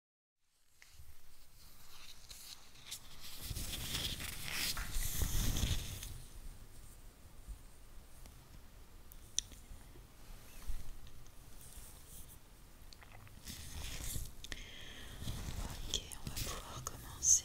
Ok, on va pouvoir commencer.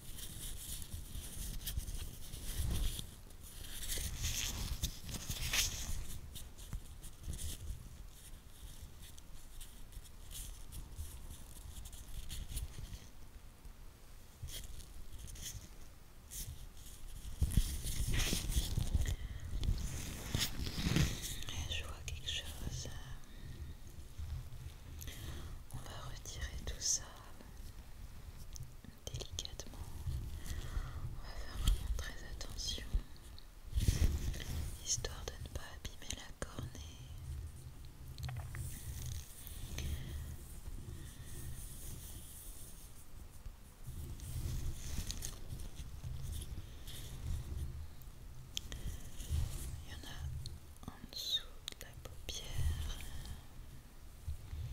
Je vois quelque chose. On va retirer tout ça délicatement. On va faire vraiment très attention, histoire de ne pas abîmer la cornée. Il y en a en dessous de la paupière un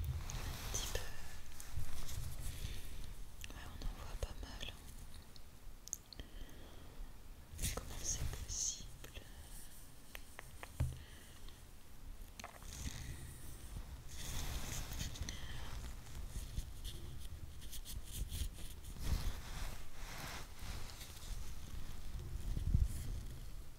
petit peu on en voit pas mal comment c'est possible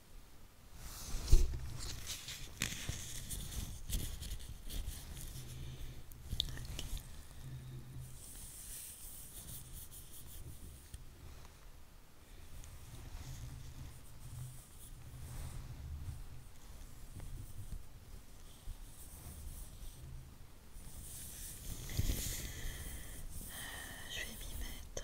Euh, je vais m'y mettre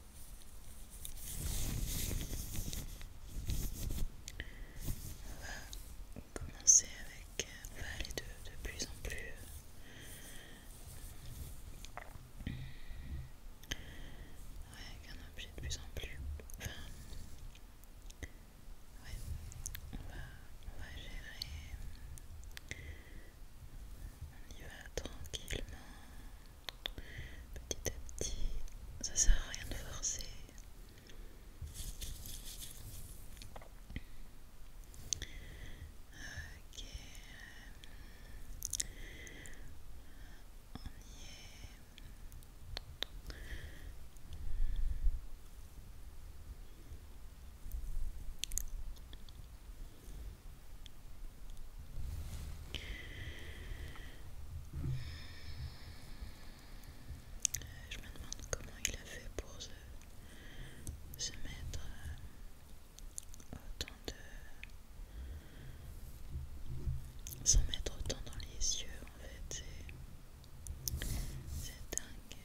On va commencer avec, euh, on va aller de, plus en plus ouais, avec un objet de plus en plus, enfin, ouais, on va gérer, on y va tranquillement petit à petit, ça sert à rien de forcer. Ok, on y est. Je me demande comment il a fait pour se, se mettre euh, autant de. s'en mettre autant dans les yeux en fait. C'est dingue.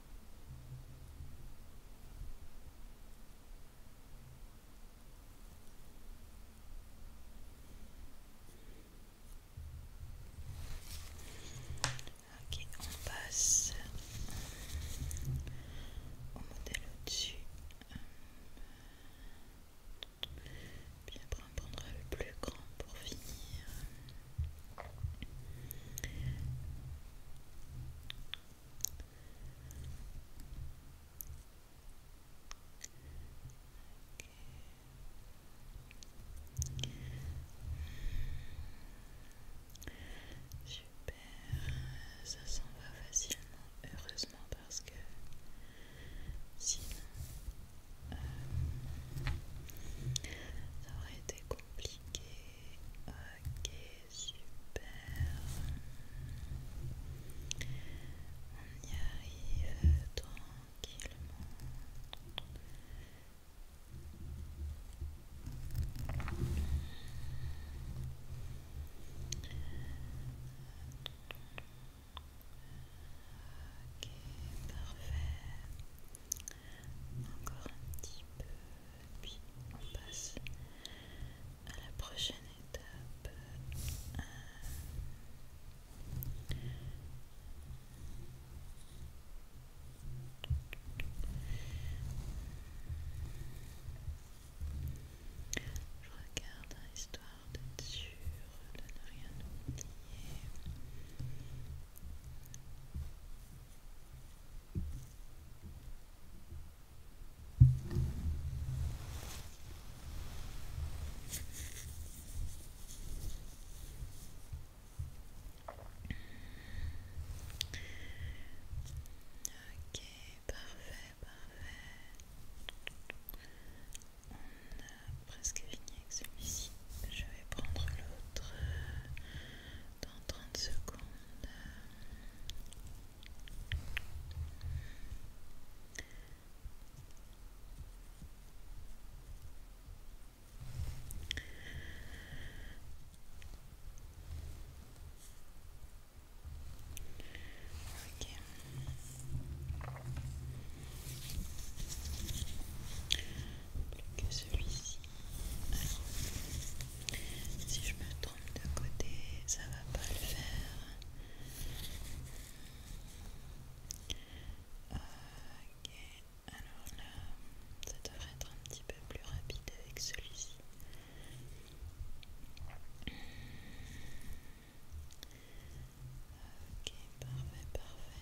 Ok, on passe au modèle au-dessus. Puis après on prendra le plus grand pour finir. Super, ça s'en va facilement, heureusement parce que sinon euh, ça aurait été compliqué. Ok, super. On y arrive tranquillement. Ok, parfait. Encore un petit peu, puis on passe à la prochaine étape. je regarde histoire d'être sûr de ne rien oublier. Ok, parfait, parfait. On a presque fini avec celui-ci. Je vais prendre l'autre euh, dans 30 secondes plus que celui-ci. Si je me trompe de côté, ça va pas le faire. Euh, ok, alors là, ça devrait être un petit peu plus rapide avec celui-ci. Ok, parfait, parfait.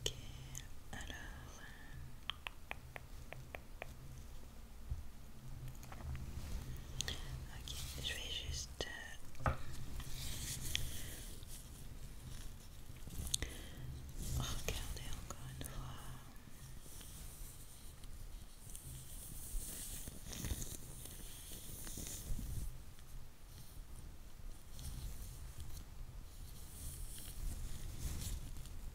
Ok, alors Ok, je vais juste euh, regarder encore une fois.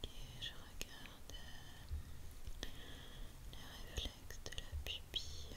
Ok, je regarde euh, les réflexes de la pupille.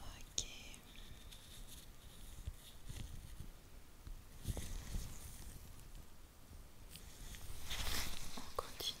Ok. On continue.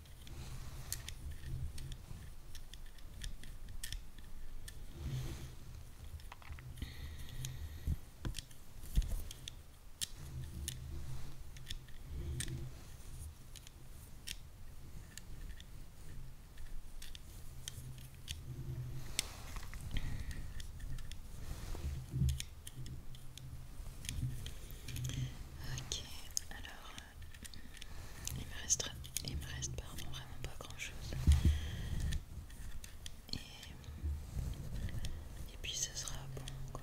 Ok, alors il me reste, il reste pardon, vraiment pas grand chose. Et, puis ce sera bon quoi.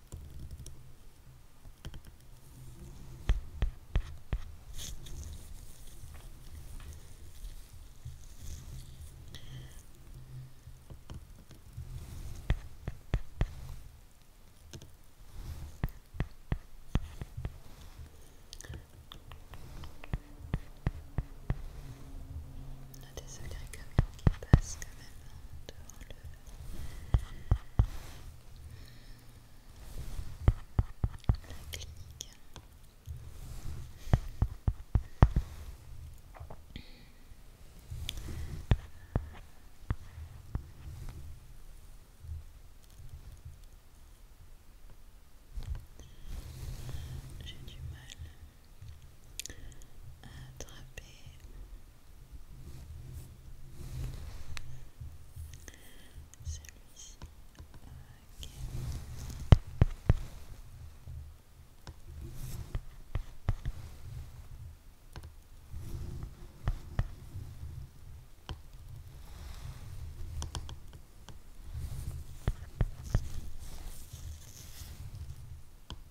On a des agrégations qui passent quand même devant le la clinique. J'ai du mal attraper celui-ci.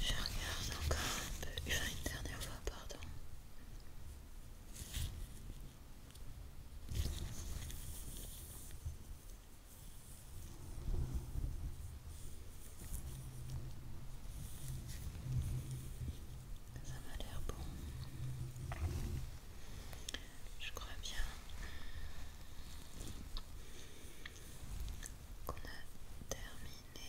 Je regarde encore un peu, une dernière fois, pardon. Ça m'a l'air bon. Je crois bien qu'on a terminé.